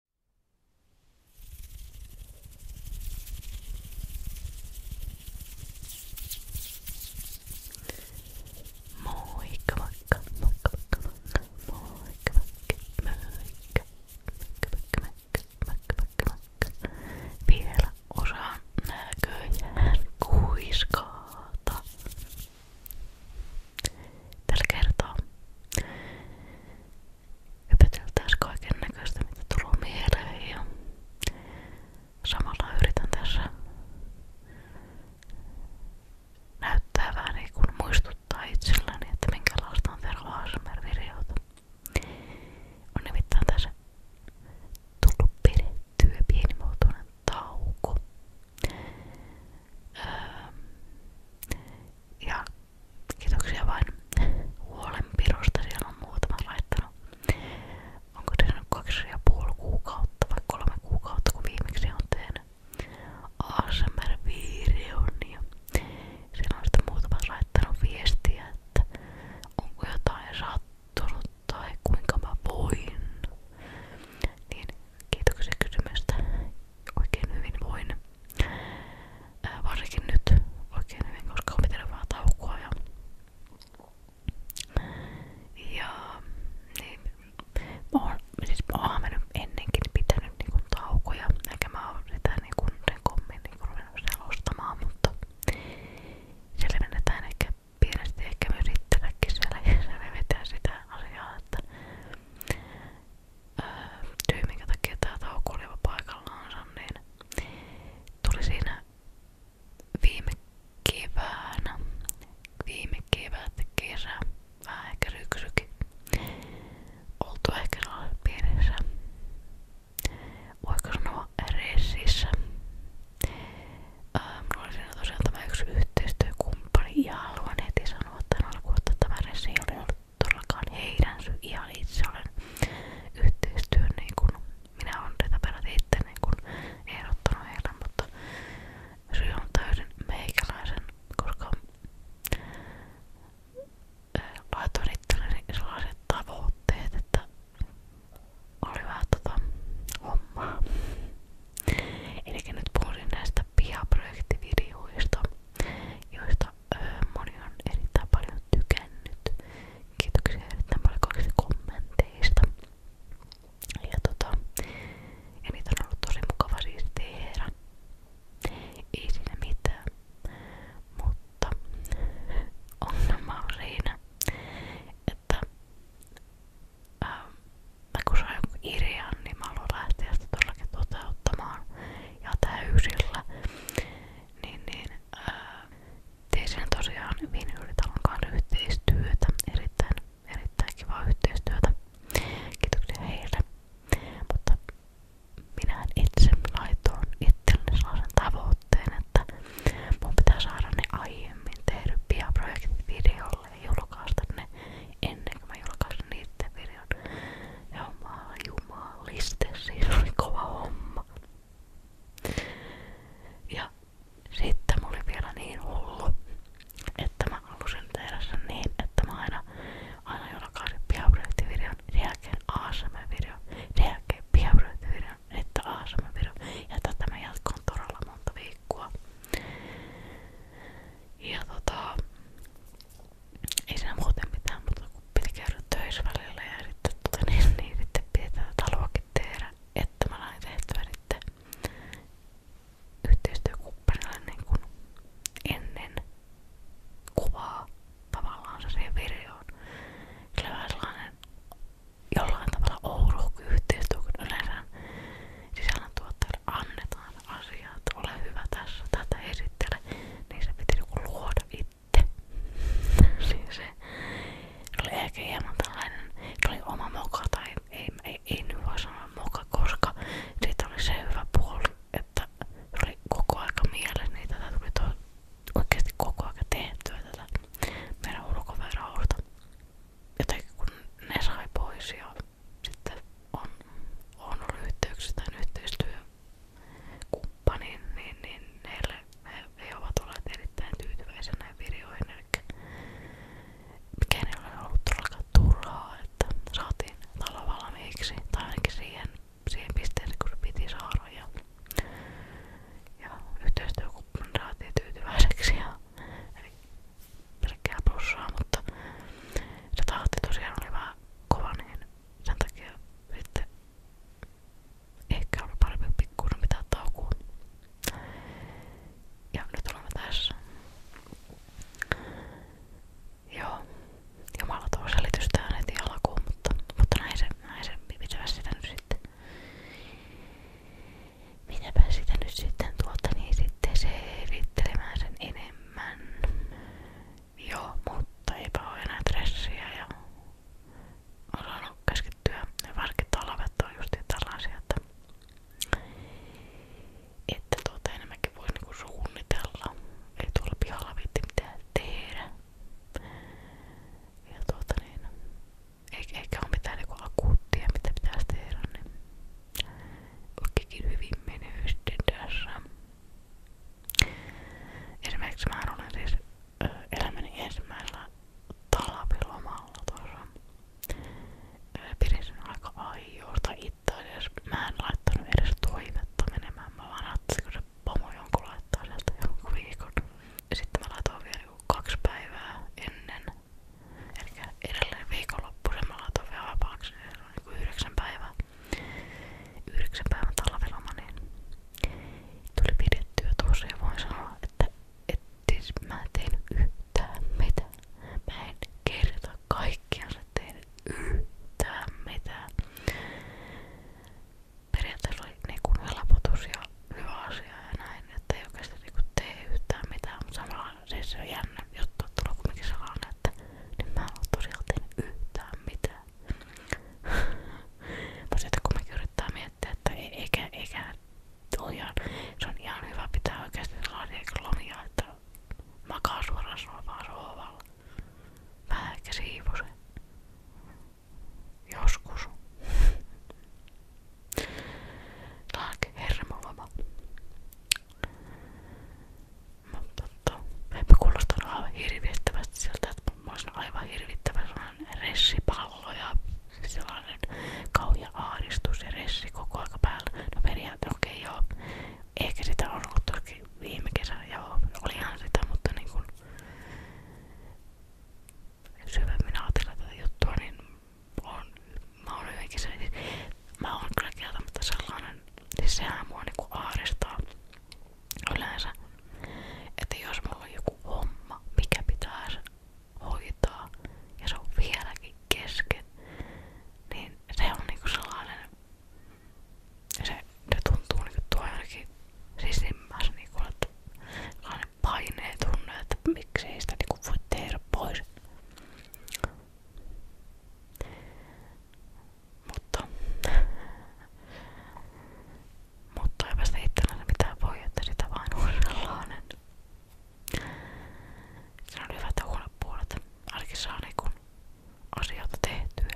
Moikka moikka, moikka moikka moikka, moikka moikka moikka, moikka moikka moikka moikka moikka. Vielä osaan näköjään kuiskaata. Tällä kertaa Hypäteltäis kaiken näköistä mitä tulee ja samalla yritän tässä näyttää vähän niin kuin muistuttaa itselläni, että on Tero ASMR-videota. On nimittäin tässä tullut öö, ja Kiitoksia vain huolenpidosta, siellä on muutama laittanut. Onko se nyt kaksi ja puoli kuukautta vai kolme kuukautta, kun viimeksi on tehnyt ASMR-videon. Niin ja siellä on sitten muutama laittanut viestiä, että onko jotain sattunut tai kuinka mä voin. Niin kiitoksia kysymästä. Oikein hyvin voin. Ää, varsinkin nyt oikein hyvin, koska on pitänyt vähän taukoa. Ja, ja niin, mä oon, siis mä oon mennyt ennenkin pitänyt niinku taukoja, eikä mä oon sitä niinku sen kommin niinku ruvennut selostamaan, mutta selvennetään ehkä pienesti ehkä myös itselläkin siellä ja selvitään sitä asiaa, että syy öö, minkä takia tää tauko oli paikallaansa, niin tuli siinä viime keväänä, viime kevät, kesä, vähän ehkä syksykin, oltu ehkä pienessä, voiko sanoa reississä. Ää, öö, mulla tosiaan tämä yksi yhteistyökumppani ja haluan heti sanoa tämän alkuun, että tämä reissi oli ollut todellakaan heidän syy. Ihan itse olen yhteistyön, niin kun minä olen tätä peräti itse niin kun ehdottanut heille, mutta syy on täysin meikäläisen, koska laitoin itselleni sellaiset tavoitteet, että oli vähän tota hommaa. Eli nyt puhuin näistä pihaprojektivideoista joista öö, moni on erittäin paljon tykännyt. Kiitoksia erittäin paljon kaikista kommenteista. Ja, tota, ja niitä on ollut tosi mukava siis tehdä. Ei siinä mitään. Mutta ongelma on siinä, että ähm, mä kun sain joku idean, niin mä haluan lähteä sitä todellakin toteuttamaan ja täysillä. Niin, niin ää, tein siinä tosiaan Viinylitalon kanssa yhteistyötä, erittäin, erittäin kivaa yhteistyötä. Kiitoksia heille. Mutta minä itse laitoin itselleni sellaisen tavoitteen, että mun pitää saada ne aiemmin tehdyt piaprojektit videolla videolla ja julkaista ne ennen kuin mä julkaisin niiden videon. Ja mä jumaliste, siinä oli kova homma. Ja sitten mä olin vielä niin hullu, että mä halusin tehdä sen niin, että mä aina, aina julkaisin piaprojektivideon, sen jälkeen ASM-videon, sen jälkeen piaprojektivideon, sitten ASM-videon. Ja tätä mä jatkoon todella monta viikkoa. Ja tota, ei siinä muuten mitään, mutta kun piti käydä töissä välillä ja sitten, tota, niin, niin sitten piti tätä taloakin tehdä, että mä lain tehtyä sitten yhteistyökumppanille niin kuin ennen kuvaa tavallaan se siihen videoon. Kyllä vähän sellainen jollain tavalla ouruhku yhteistyö, kun yleensä sisällöntuottajalle annetaan asiaa, että ole hyvä tässä, esittele, niin se piti joku niinku luoda siis se oli ehkä hieman oma moka ei, ei, ei moka, koska siitä oli että se koko aika mielessä, niin tätä tuli to, oikeasti koko aika tehtyä tätä meidän ulkoverausta. Jotenkin kun ne sai pois sitten on, on ollut yhteyksissä tämän yhteistyökumppaniin, niin, niin heille, he, he ovat olleet erittäin tyytyväisiä näihin videoihin. Eli mikään ei ole ollut todellakaan turhaa, että saatiin talo valmiiksi tai ainakin siihen, siihen pisteeseen, kun se piti saada. Ja, ja yhteistyökumppani saatiin tyytyväiseksi. Ja, eli pelkkää plussaa, mutta se tahti tosiaan oli vähän kova, niin sen takia sitten ehkä oli parempi pikkuinen pitää taukoa. Ja nyt olemme tässä. Joo, jumala tuo selitys tähän heti alkuun, mutta, mutta näin se, näin se pitää sitä nyt sitten. Mitäpä sitä nyt sitten tuolta niin sitten selvittelemään sen enemmän. Men joo, mutta eipä oo enää stressiä ja osannut keskittyä. Ja varsinkin talvet on just tällaisia, että, että tuota enemmänkin voi niinku suunnitella. Ei tuolla pihalla viitti mitään tehdä. Ja tuota niin, eikä, eikä ole mitään niinku akuuttia, mitä pitäisi tehdä. Niin Ukkikin hyvin menee sitten tässä. Esimerkiksi mä olen siis elämäni ensimmäisellä talvilomalla aika aiosta itse asiassa. Mä en laittanut edes toivetta menemään. Mä vaan ajattelin, kun se pomo Sitten mä laitoin vielä kaksi päivää ennen Eli edelleen viikonloppu sen mä laitoin vapaaksi, niin se on niinku yhdeksän päivää. Yhdeksän päivän talveloma, niin tuli pidettyä tuossa ja voin sanoa, että et mä en tehnyt yhtään Mä en kerta kaikkiansa tehnyt yhtään mitään. Periaatteessa oli niinku helpotus näin, että ei oikeastaan niinku mutta samalla se, siis se on jännä juttu, että tulee kuitenkin sellainen, että niin mä en oo tosiaan tehnyt yhtään mitään. Mutta sitten kumminkin yrittää miettiä, että ei, eikä, eikä ole ihan, se on ihan hyvä pitää oikeasti sellaisia niin lomia, että makaa suoraan sohvaan sohvalla. Vähän ehkä siivosen. Joskus. Laake hermoloma. Mutta totta, eipä kuulostanut aivan hirvittävästi siltä, että mä olisin aivan hirvittävä sellainen ressipallo ja siis sellainen kauhea ahdistus ja ressi koko aika päällä. No periaatteessa okei okay, joo, ehkä sitä on ollut toki viime kesänä joo, olihan sitä, mutta niin kun syvemmin ajatella tätä juttua, niin mä oon jotenkin se, mä oon kyllä kieltämättä sellainen, siis sehän mua niinku aaristaa yleensä, että jos mulla on joku homma, mikä pitäisi hoitaa ja se on vieläkin kesken, niin se on niinku sellainen, se, se tuntuu niinku tuo ainakin sisimmässä niinku, että sellainen paineen tunne, että miksei sitä niinku voi tehdä pois. Mutta, mutta eipä sitä itsellensä mitään voi, että sitä vain huudellaan. Se on hyvä, että huolepuolet ainakin saa niinku asioita tehtyä.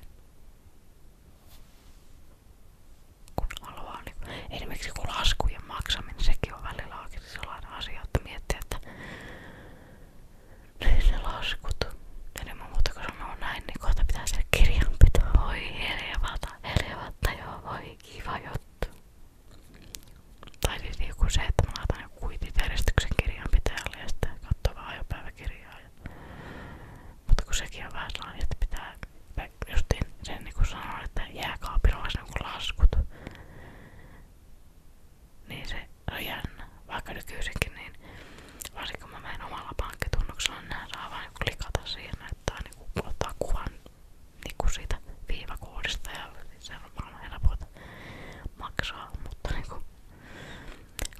Kun haluaa niinku, esimerkiksi kun laskujen maksaminen, sekin on välillä oikeasti sellainen asia, että miettii, että niin ne laskut. Ennen muuta kun sanoo näin, niin kohta pitää sen kirjan pitää. Oi helevata, helevata joo, voi kiva juttu. Tai siis joku niinku se, että mä laitan joku kuitit järjestyksen kirjanpitäjälle ja sitten katsoo vähän ajopäiväkirjaa. Ja... Mutta kun sekin on vähän sellainen, että pitää justiin sen niin kuin sanoa, että jääkaapilla olisi niin laskut niin se on jännä. Vaikka nykyisinkin, niin varsinkin kun mä menen omalla pankkitunnuksella, niin nää saa vain klikata siihen, että niinku, ottaa kuvan niinku siitä viivakoodista ja se on varmaan helpoita maksaa, mutta niin kuin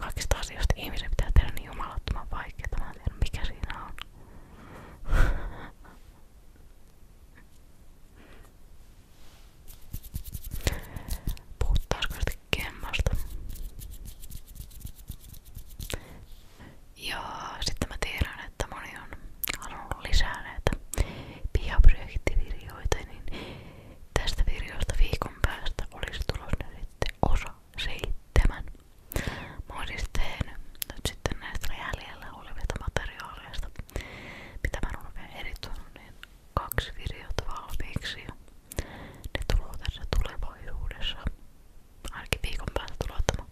kaikista asioista ihmisen pitää tehdä niin jumalattoman vaikeaa, mä en mikä siinä on. Puhuttaisiko sitä kemmasta? Ja sitten mä tiedän, että moni on halunnut lisää näitä pihaprojektivirjoita, niin tästä videosta viikon päästä olisi tulossa sitten osa seitsemän. Mä oon siis tehnyt nyt sitten näistä jäljellä olevista materiaaleista, mitä mä oon vielä erittänyt, niin kaksi videota valmiiksi ja ne tulee tässä tulevaisuudessa. Ainakin viikon päästä tulee ottamaan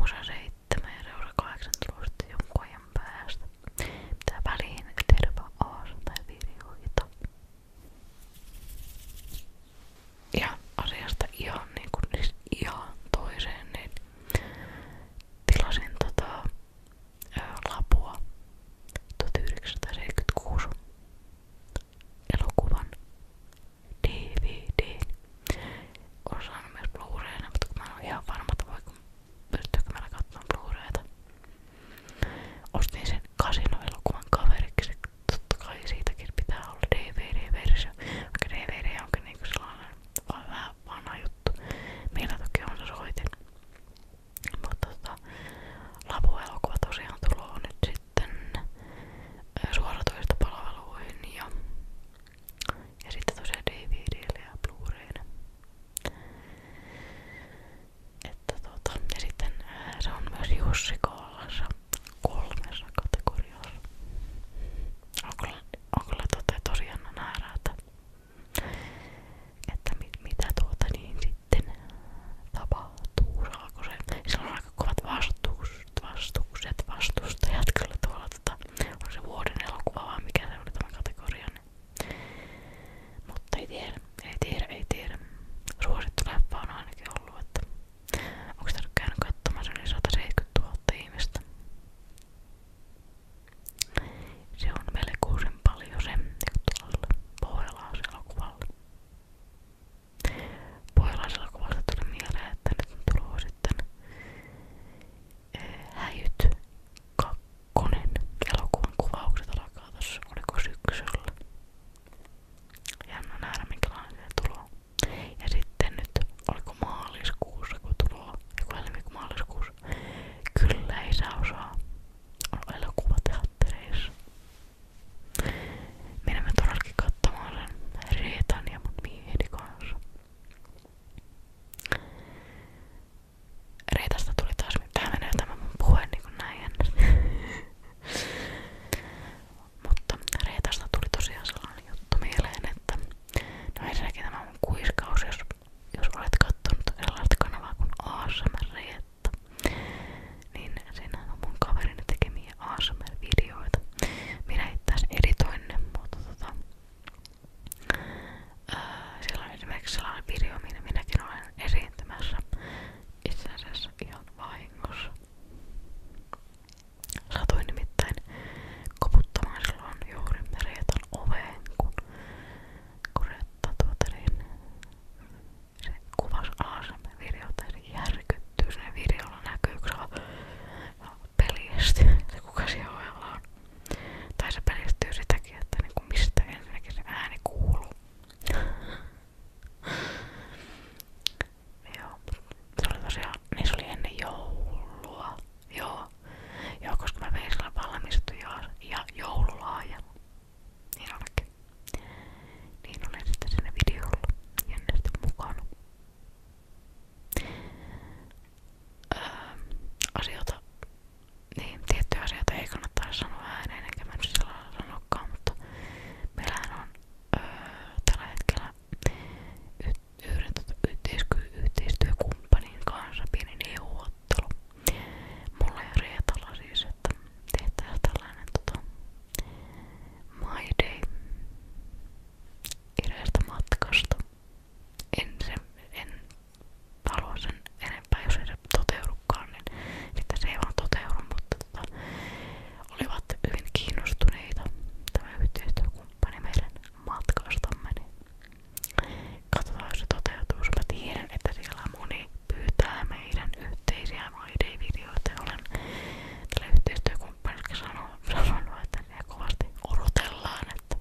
osa 7 ja seura 8 tulee jonkun ajan päästä. Pitää väliin tehdä vaan tai videoita. Ja asiasta ihan niin kuin, siis ihan toiseen, niin Tilasin tota, ää, lapua 1976 elokuvan DVD. Olen saanut myös Blu-rayna, mutta kun mä en ole ihan varma, että voiko pystyykö meillä katsomaan Blu-rayta. Ostin sen kasinoelokuvan kaveriksi. Totta kai siitäkin pitää olla DVD-versio. Vaikka DVD onkin niinku sellainen vaan vähän vähän vanha juttu. Meillä toki on se soitin. Mutta tota, lapuelokuva tosiaan tulee nyt sitten suoratoista palveluihin ja, ja sitten tosiaan DVDlle ja Blu-raylle. Että tota, ja sitten se on myös Jussi Kollassa kolmessa kategoriassa on kyllä tota tosi jännä nähdä, että, että mit, mitä tuota niin sitten tapahtuu. Saako se? Sillä on aika kovat vastukset, vastukset vastustajat kyllä tuolla. Tota, on se vuoden elokuva vai mikä se oli tämä kategoria. Niin. Mutta ei tiedä, ei tiedä, ei tiedä. Suosittu läppä on ainakin ollut, että onko täällä käynyt katsomaan se yli 170 000 ihmistä? Se on melkoisen paljon se tuolla pohjalaiselokuvalla. Pohjalaiselokuvasta tuli mieleen, että nyt on tullut sitten eh, Häjyt kakkonen elokuvan kuvaukset alkaa tossa, oliko syksyllä. Jännä nähdä minkälainen se tulee. Ja sitten nyt oliko maaliskuussa, kun tuloa, joku helmikumaaliskuussa. Kyllä ei saa osaa on elokuvateattereissa. Menemme todellakin katsomaan sen Reetan ja mun mieheni kanssa. Reetasta tuli taas, tähän menee tämä mun puhe niin kuin näin jännästi. Mutta Reetasta tuli tosiaan sellainen juttu mieleen, että No ensinnäkin tämä on kuiskaus, jos, jos olet kattonut sellaista kanavaa kuin ASMR, niin siinä on mun kaverini tekemiä ASMR-videoita. Minä itse asiassa editoin ne, mutta tota, ää, siellä on esimerkiksi sellainen video, minä minäkin olen esiintymässä itse asiassa ihan vahingossa. Satuin nimittäin koputtamaan silloin juuri Reetan oveen, kun, kun Reetta tuota niin, se kuvasi ASM-videota ja se järkyttyy. Siinä videolla näkyy, kun se peljästi, se kuka siellä ovella on. Tai se peljestyy sitäkin, että niinku mistä ensinnäkin se ääni kuuluu. Joo, se oli tosiaan, niin se oli ennen joulua. Joo. Joo, koska mä vein sillä valmistuja ja joululaajan. Niin olikin. Niin olen sitten siinä videolla jännästi mukana. Öö, asioita, niin tiettyjä asioita ei kannattaa sanoa ääneen, enkä mä nyt sellaisella sanokaan, mutta meillähän on öö, tällä hetkellä yt, yhden tota, yhteisky- yhteistyökumppanin kanssa pieni neuvottelu. Mulla ja Reetalla siis, että tehtäisiin tällainen tota, My Day erästä matkasta. En, se, en halua sen enempää, jos ei se toteudukaan, niin sitten se ei vaan toteudu, mutta tota, olivat hyvin kiinnostuneita tämä yhteistyökumppani meidän matkastamme. Niin katsotaan, jos se toteutuu. Mä tiedän, että siellä moni pyytää meidän yhteisiä videoita. Olen tälle yhteistyökumppanille sanonut, että ne kovasti odotellaan, että,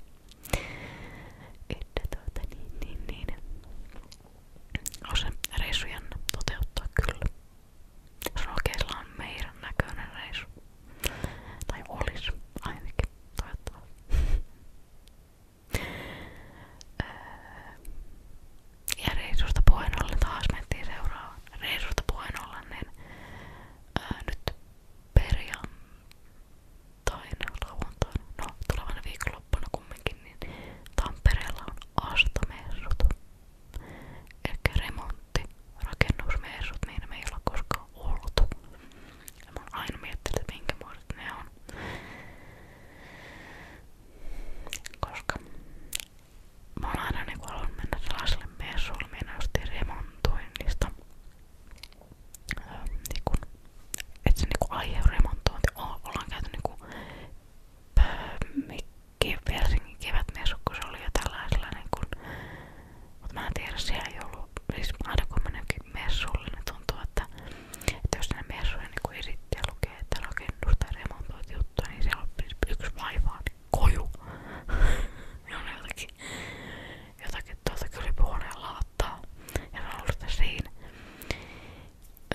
että tuota, niin, niin, niin. on se reissu jännä toteuttaa kyllä. Rokeilla on meidän näköinen reissu. Tai olis ainakin, toivottavasti. Öö, ja reisusta puheen ollen taas mentiin seuraavaan. Reisusta puheen ollen, niin ää, öö, nyt perjantaina, lauantaina, no tulevana viikonloppuna kumminkin, niin Tampereella on astomessut. Eli remontti rakennusmessut, niin me ei olla koskaan oltu. Ja mä oon aina miettinyt, että minkä muodot ne on. Koska mä oon aina niinku halunnut mennä sellaiselle messuille, minä ostin remontoinnista. Öö, ähm, niinku, et se niinku aihe on remontointi. O, ollaan käyty niinku öö, Helsingin kevätmessu, kun se oli jo tällaisella niin kuin, mutta mä en tiedä, siellä ei ollut, siis aina kun mä messulle, niin tuntuu, että, että jos ne messuja niin esittää ja lukee, että rakennusta ja remontoit juttuja, niin siellä on siis yksi vaivaa, niin koju. ne on jotakin, jotakin tuolta kylpyhuoneen laattaa ja ne on ollut siinä.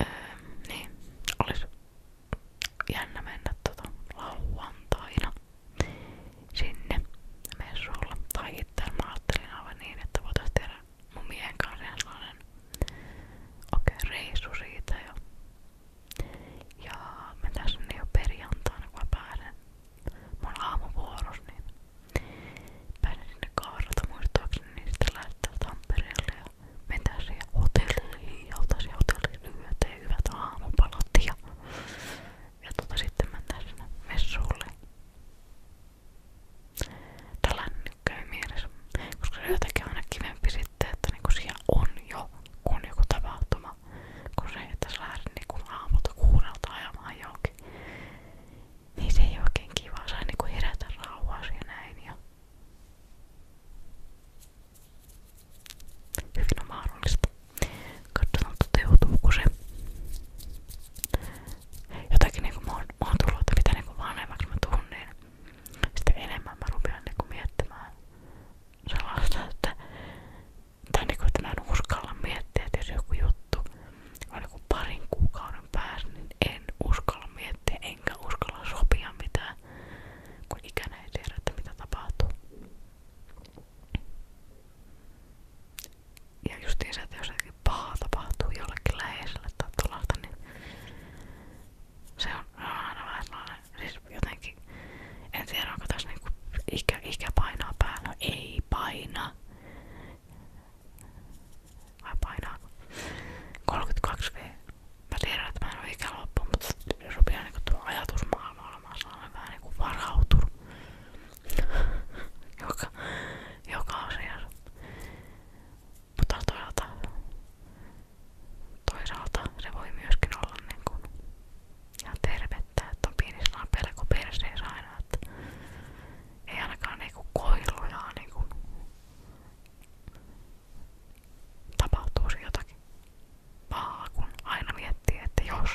Öö, niin, olisi jännä mennä tota lauantaina sinne messuilla. Tai itse mä ajattelin aivan niin, että voitais tehdä mun miehen kanssa sellainen okei okay, reissu siitä jo. Ja mä tässä jo perjantaina kun mä pääsen mun aamuvuoros, niin pääsen sinne kaarata muistaakseni niin sitten lähtee Tampereelle ja mennään siihen hotelliin ja otan siihen hotelliin lyöteen hyvät aamupalat ja ja tota, sitten mennään sinne messuille. Tällainen nyt käy mielessä, koska se on jotenkin aina kivempi sitten, että niinku siellä on jo, kun joku tapahtuma, kun se, että sä lähdet niinku aamulta kuudelta ajamaan johonkin. Niin se ei oikein kiva, saa niinku herätä rauhaa ja näin. Ja hyvin on mahdollista. Katsotaan toteutuuko se. Jotakin niinku maatuloita, mitä niinku vanhemmaksi mä tuun, niin sitten enemmän mä rupean niinku miettimään sellaista, että, tai niinku, että mä en uskalla miettiä, että jos joku juttu on joku parin kuukauden päässä, niin en uskalla miettiä, enkä uskalla sopia mitään, kun ikänä ei tiedä, että mitä tapahtuu. Ja justiinsa, että jos jotenkin paha tapahtuu jollekin läheiselle tai tuollaista, niin se on aina vähän sellainen, siis jotenkin, en tiedä onko tässä niinku ikä, ikä painaa päällä, no, ei paina. Vai painaako? 32V. Mä tiedän, että mä en oo ikäloppu, mutta rupeaa niinku tuo ajatusmaailma varmaan sellainen vähän niinku varautunut joka, joka asiassa. Mutta toisaalta, toisaalta se voi myöskin olla niinku ihan tervettä, että on pieni sellainen pelko perseessä aina, että ei ainakaan niinku koilujaa niinku tapahtuu se jotakin pahaa, kun aina miettii, että jos.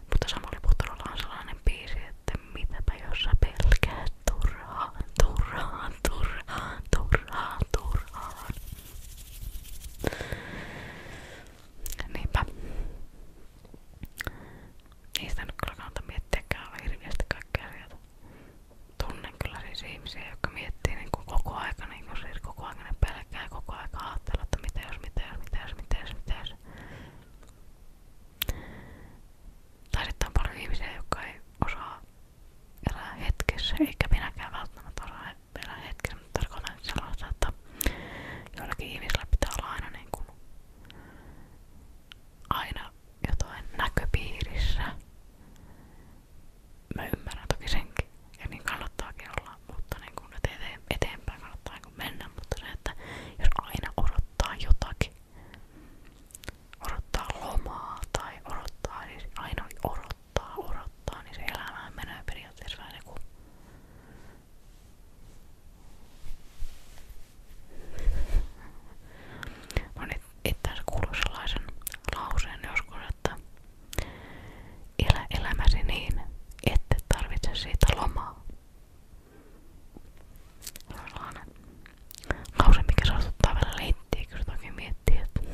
Mutta Samuli Putorolla on sellainen biisi, että mitäpä jos sä pelkäät turhaan, turhaan, turhaan, turhaan, turhaan. Niinpä. Niistä nyt kyllä kannata miettiäkään hirveästi kaikkea sieltä. Tunne tunnen kyllä siis ihmisiä, jotka miettii niin kuin koko ajan, niin kuin siis koko ajan ne pelkää ja koko ajan ajattelee, että mitä jos, mitä jos, mitä jos, mitä jos, mitä jos. Tai sitten on paljon ihmisiä, jotka ei osaa elää hetkessä, eikä minäkään välttämättä osaa elää hetkessä, mutta tarkoitan sellaista, että joillakin ihmisillä pitää olla aina niin kuin aina jotain näköpiirissä mä ymmärrän toki senkin ja niin kannattaakin olla, mutta niin kun eteen, eteenpäin kannattaa niin mennä, mutta se, että jos aina odottaa jotakin, odottaa lomaa tai odottaa, siis aina odottaa, odottaa, niin se elämään menee periaatteessa vähän niin kuin Mä no niin, oon itse asiassa kuullut sellaisen lauseen joskus, mutta elä elämäsi niin, ette tarvitse siitä lomaa. Se on sellainen lause, mikä saastuttaa vielä leittiä, kun se toki miettii, että... niin.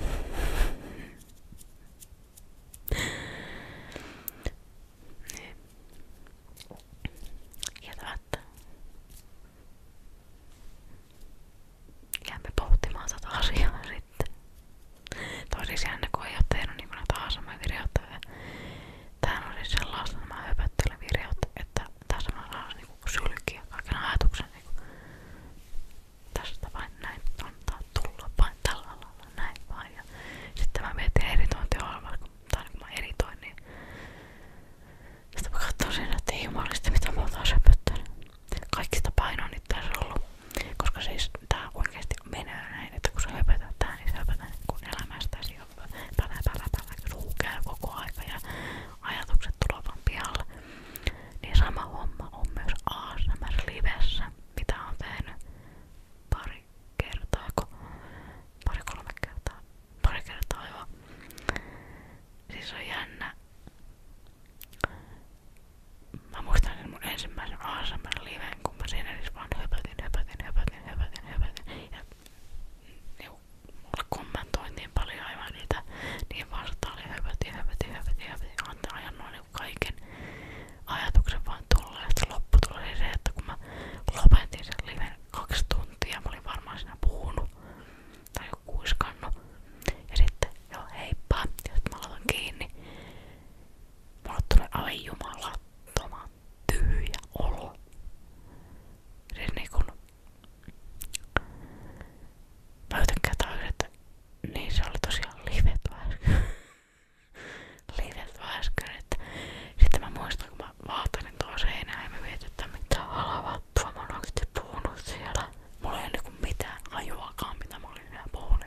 Jätä, että jäämme pohtimaan sitä asiaa sitten. Tosi jännä, kun ei ole tehnyt niin kuin tahansa mä virjoittelen. Tämähän on siis sellaista, että mä höpöttelen virjoittelen, että tässä mä saan niinku sylkiä kaiken ajatuksen. Niinku. Tästä vain näin antaa tulla, vain tällä lailla näin vain. Ja sitten mä mietin editointiohjelmaa, kun, tai kun mä editoin, niin sitten mä katsoin siinä, että ei jumalista mitä mä oon taas höpöttänyt kaikista painoa nyt tässä ollut. Koska siis tää oikeesti menee näin, että kun sä höpötät tää, niin sä höpötät niin kun elämästäsi pälä pälä pälä suu käy koko aika ja ajatukset tulevat vaan pihalle. Niin sama homma on myös ASMR-livessä, mitä on tehnyt pari kertaa, pari kolme kertaa, pari kertaa joo. Siis on jännä, Mä muistan sen mun ensimmäisen ASMR-liven, kun mä siinä siis vaan höpötin, höpötin, höpötin, höpötin, höpötin. Ja niinku, mulle kommentoitiin paljon aivan niitä, niin vastaan oli höpötin, höpötin, höpötin, höpötin. Antaa ajan noin niinku kaiken ajatuksen vaan tulla. Ja sitten lopputulos oli se, että kun mä lopetin sen liven kaksi tuntia, mä olin varmaan siinä puhunut tai kuiskannut. Ja sitten, joo heippa, ja sitten mä laitan kiinni. Mulle tulee tyhjä olo. Siis niinku... Mä jotenkin tajusin, niin tosiaan livet äsken. livet äsken, Sitten mä muistan, kun mä vaatanin tuon seinään mitä halava loppua. Mä oon oikeesti puhunut siellä. Mulla ei ole niinku mitään hajuakaan mitä mä olin enää puhunut.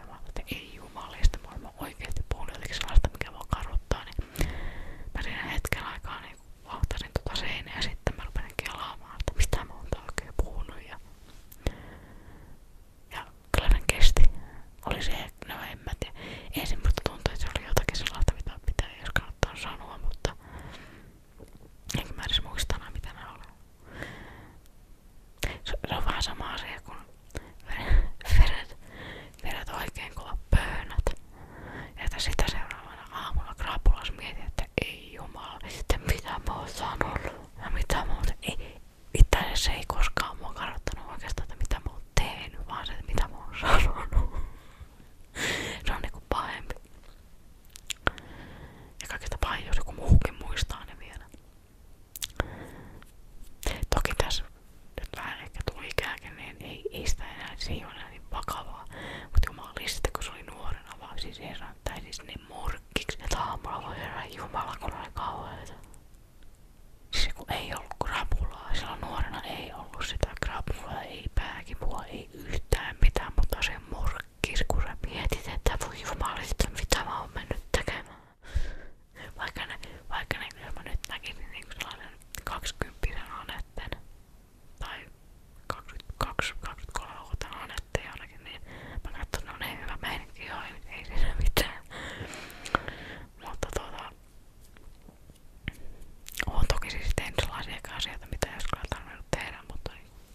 Ei jumalista, mä oon oikeesti puhunut jotenkin sellaista mikä voi karuttaa. Niin mä siinä hetken aikaa niinku vauhtasin tota seinää ja sitten mä rupesin kelaamaan, että mistä mä oon oikein puhunut. Ja, ja kyllä sen kesti. Oli se, no en mä tiedä. Ensin musta tuntui, että se oli jotakin sellaista mitä pitää jos kannattaa sanoa, mutta Enkä mä edes muista enää mitä ne oli. Se, se on vähän sama asia kuin vedät, vedät oikein kova pöönät. Ja sitä seuraavana aamulla krapulas mietit, että ei jumala, sitten mitä mä oon sanonut ja mitä mä oon ei, Itse asiassa ei koskaan mua kartoittanut oikeastaan, että mitä mä oon tehnyt, vaan se, että mitä mä oon sanonut. se on niinku pahempi. Ja kaikista pahin, jos joku muistaa ne vielä. Toki tässä nyt vähän ehkä tuli niin ei, ei sitä enää, se niin Mutta jumalista, kun se oli nuorena vaan siis herran, tai niin morkkiksi, että aamulla voi herran jumala, Siis kun ei ollut krapulaa, silloin nuorena ei ollut sitä krapulaa, ei pääkipua, ei yhtään mitään, mutta se morkki kirkulla mietit, että voi jumalista mitä mä oon mennyt tekemään. Vaikka ne, vaikka ne jos mä nyt näkisin niin sellainen 20 anetten tai 22-23-vuotiaan anetten jonnekin, niin mä katson, no niin hyvä meininki joo, ei, ei siinä mitään. Mutta tuota, oon toki siis tehnyt sellaisia asioita, mitä ei olisi tarvinnut tehdä, mutta niin,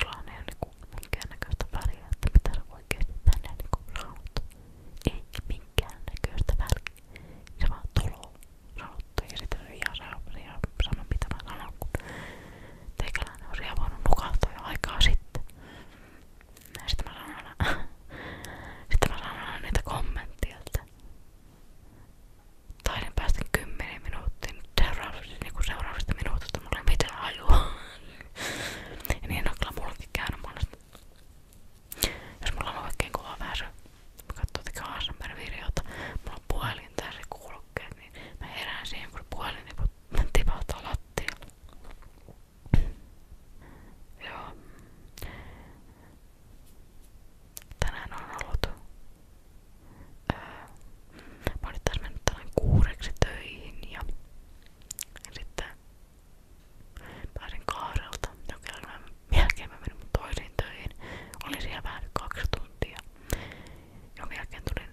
Sulla on ihan niinku minkäännäköistä väliä, että mitä sä oikeesti tänne niinku sanot. Ei minkäännäköistä väliä. Se vaan tulo sanottu ja sitten se on ihan, sama, ihan sama mitä mä sanon, kun teikäläinen on ihan voinut nukahtaa jo aikaa sitten. Ja sitten mä sanon aina, sitten mä sanon aina niitä kommentteja, että taiden päästä 10 minuuttiin seuraavista, niinku seuraavista minuutista mulla ei mitään hajua. Ja niin on kyllä mullakin käynyt monesti. Jos mulla on oikein kova väsy, mä katson tekee ASMR-videota, mulla on puhelin tässä kuulokkeet, niin mä herään siihen, kun puhelin niin tipahtaa lattialle. Joo. Tänään on ollut... Öö, mä olin taas mennyt tänään kuureksi töihin ja ja sitten pääsin kaarelta. Jokin jälkeen mä menin mun toisiin töihin. Olin siellä vähän kaksi tuntia. Jonkin jälkeen tulin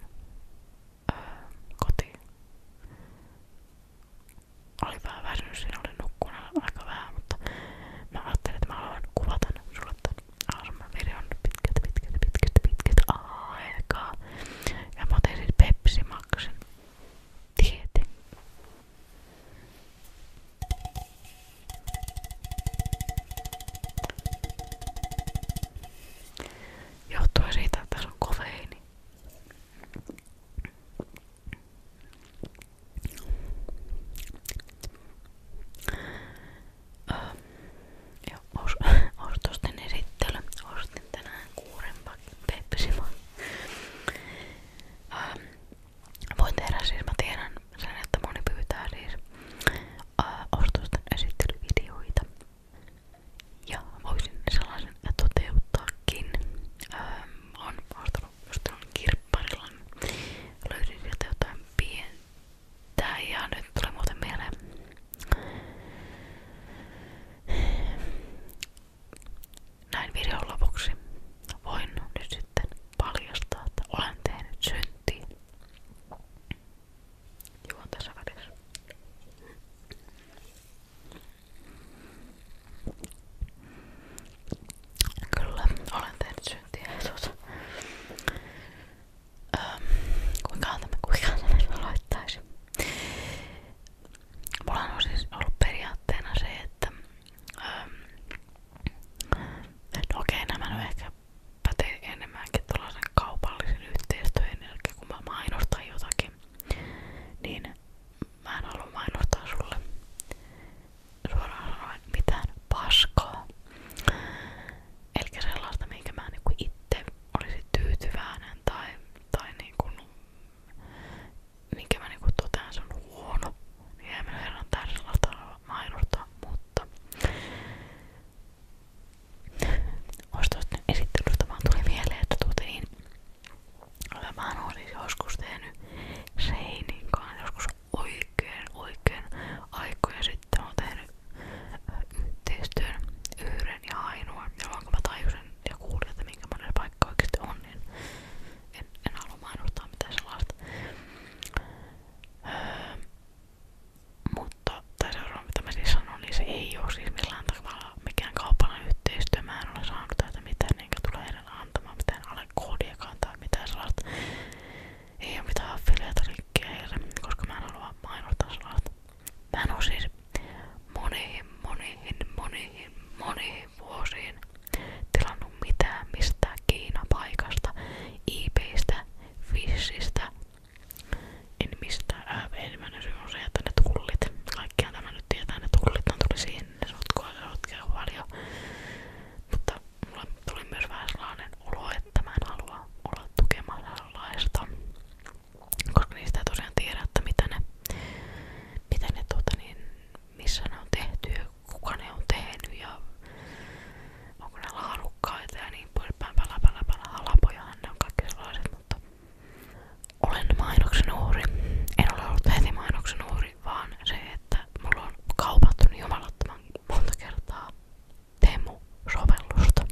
öö, kotiin. Olin vähän väsynyt siinä, olin nukkunut aika vähän, mutta mä ajattelin, että mä haluan kuvata sulle tämän ASMR-videon pitkät, pitkät, pitkät, pitkät aikaa. Ja mä otin sit pepsimaksen. Tieten. Johtuen siitä, että se on kofeiini. Öö, ja os, ostosten esittely. Ostin tänään kuuren pepsimon. Ähm, voin tehdä siis, mä tiedän sen, että moni pyytää siis äh, ostosten esittelyvideoita. Ja voisin sellaisen toteuttaakin. Ähm, on ostanut just on kirpparilan. Löysin sieltä jotain pientä ja nyt tulee muuten mieleen näin videon lopuksi voin nyt sitten paljastaa, että olen tehnyt syntiä. Juon tässä välissä. Kyllä, olen tehnyt syntiä. Öm, kuinkahan tämä, kuinkahan tämä aloittaisi? Mulla on siis ollut periaatteena se, että öm, no okei, nämä nyt ehkä pätee enemmänkin tuollaisen kaupallisen yhteistyön jälkeen, kun mä mainostan jotakin, niin mä en halua mainostaa sulle suoraan sanoen mitään paskaa. Eli sellaista, minkä mä niinku itse olisit tyytyväinen tai, tai niin kuin, minkä mä niinku totean sun huono, niin ei me mutta ostosta esittelystä vaan tuli mieleen, että tuotiin mä oon siis joskus tehnyt seinin kanssa joskus oikein oikein aikoja yrittää tehdä yhteistyön yhden ja ainoan, jolloin kun mä tajusin ja kuulin, että minkä monen paikka oikeasti on, niin en, en halua mainostaa mitään sellaista. Öö, mutta tai seuraava mitä mä siis sanon, niin se ei ole siis millään tavalla mikään kaupallinen yhteistyö. Mä en ole saanut täältä mitään enkä tule heidän antamaan mitään alle koodiakaan tai mitään sellaista. Ei ole mitään affiliate-linkkiä heille, koska mä en halua mainostaa sellaista. Mä en oo siis moniin, moniin, moniin, moniin vuosiin tilannut mitään mistään Kiina-paikasta, IPistä, e Fishistä, en mistään, ää, ensimmäinen syy on se, että ne tullit, kaikkiaan tämä nyt tietää, ne tullit on tuli sinne, sotkoa ja sotkea paljon, mutta mulle tuli myös vähän sellainen olo, että mä en halua olla tukemassa sellaista koska niistä ei tosiaan tiedä, että mitä ne, mitä ne tuota niin, missä ne on tehty ja kuka ne on tehnyt ja onko ne laadukkaita ja niin poispäin, pala pala pala, halapojahan ne on kaikki sellaiset, mutta olen mainoksen uhri. En ole ollut heti mainoksen uhri, vaan se, että mulla on kaupattu niin jumalattoman monta kertaa Temu-sovellusta.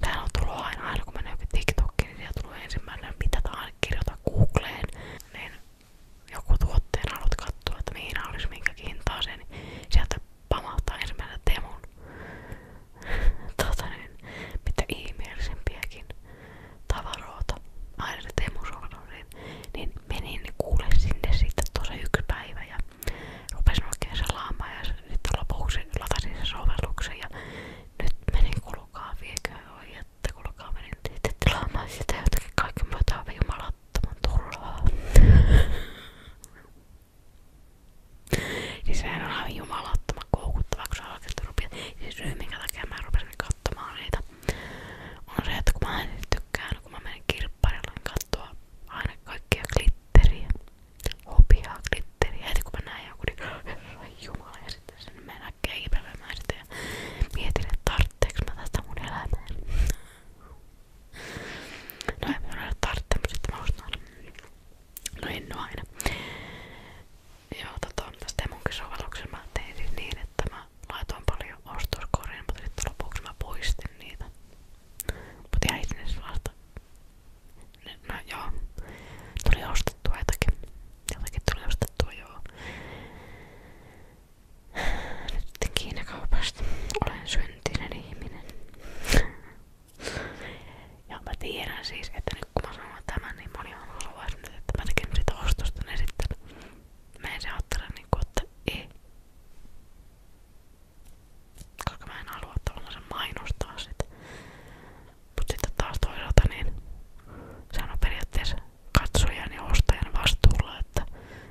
Täällä on tullut aina, aina kun menee jokin TikTokiin, niin siellä tulee ensimmäinen, kirjoita Googleen, niin joku tuotteen haluat katsoa, että mihin olisi minkäkin hintaa se, niin sieltä pamahtaa ensimmäinen Temun tota niin, mitä ihmeellisempiäkin tavaroita aina se Temun niin, niin menin niin kuule sinne sitten tosi yksi päivä ja rupesin oikein salaamaan ja sitten lopuksi latasin sen sovelluksen ja nyt menin kulkaa viekö oi että kulkaa menin sitten tilaamaan sitä jotakin kaiken muuta aivan jumalattoman turhaa Siis sehän on aivan jumalattoman koukuttava, kun sä oikeesti rupeat. Siis syy minkä takia mä rupesin katsomaan niitä on se, että kun mä en tykkään, kun mä menen kirpparille, niin katsoa aina kaikkia klippejä glitteriä. Hopiaa glitteriä. Heti kun mä näin joku, niin herra jumala. Ja sitten sen mä näkee kipevämään sitä ja mietin, että tartteeks mä tästä mun elämään. No ei mun ole tartte, mutta sitten mä ostan. No en oo aina. Joo, tota, tästä munkin sovelluksen mä tein siis niin, että mä laitoin paljon ostoskoriin, mutta sitten lopuksi mä poistin niitä. Mut ihan itsenäisyys vasta. No joo. Tuli ostettua jotakin. Jotakin tuli ostettua joo. Nyt sitten Kiinakaupasta. Olen syntinen ihminen. Ja mä tiedän siis, että nyt kun mä sanon tämän, niin moni on haluaisin nyt, että mä teken sitä ostosta, niin sitten mä en se ajattele niinku, että ei. Koska mä en halua tavallaan sen mainostaa taas toisaalta niin sehän on periaatteessa katsojan ja vastuulla, että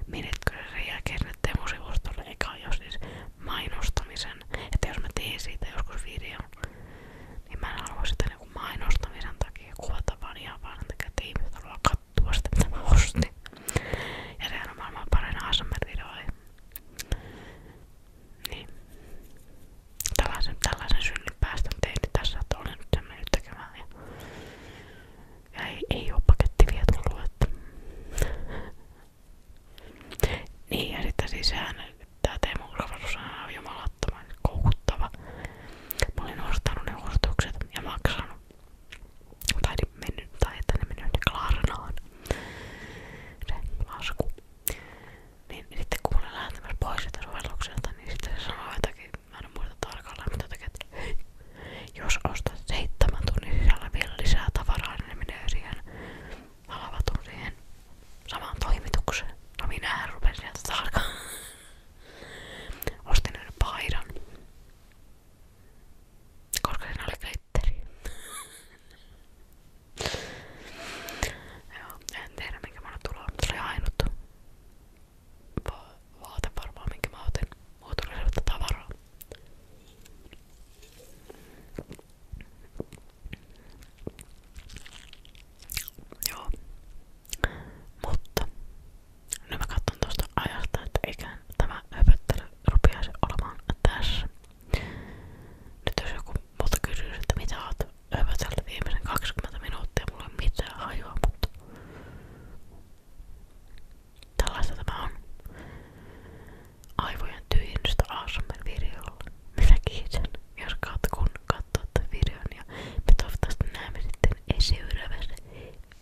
minetkö sen jälkeen sinne Temu-sivustolle eka jos siis mainostamisen. jos mä teen siitä joskus videon, niin mä en halua sitä niinku mainostamisen takia kuvata vaan ihan vaan sen takia, että ja sehän on maailman parin ASMR-videoihin. Niin. Tällaisen, tällaisen synnyn päästä tein nyt tässä, että olen nyt sen mennyt tekemään. Ja, ja ei, ei oo paketti vielä tullut, että. Niin ja sitten siis sehän, tää Teemu Urvarus on jumalattoman koukuttava. Mä olin ostanut ne ostokset ja maksanut tai, mennyt, tai että ne mennyt Klarnaan se lasku niin, niin sitten kun mä olin lähtemässä pois sitä sovellukselta, niin sitten se sanoi jotakin, mä en muista tarkalleen, mutta jotakin, että hei, jos ostat seitsemän tunnin sisällä vielä lisää tavaraa, niin ne menee siihen alavatun siihen samaan toimitukseen. No minähän rupesin sieltä tarkkaan. Ostin yhden paidan. Koska siinä oli glitteri. Joo, en tiedä minkä mä oon tullut. Se oli ainut Va vaate varmaan minkä mä otin. Mulla tuli sellaista tavaraa. Joo. Mutta nyt mä katson tuosta ajasta, että eiköhän tämä höpöttely rupeaisi olemaan tässä. Nyt jos joku multa kysyisi, että mitä oot höpötellyt viimeisen 20 minuuttia, mulla ei mitään hajua, mutta tällaista tämä on. Aivojen tyhjennystä ASMR-videolla. Minä kiitän, jos katkun katsoa videon ja me toivottavasti näemme sitten seuraavassa videossa.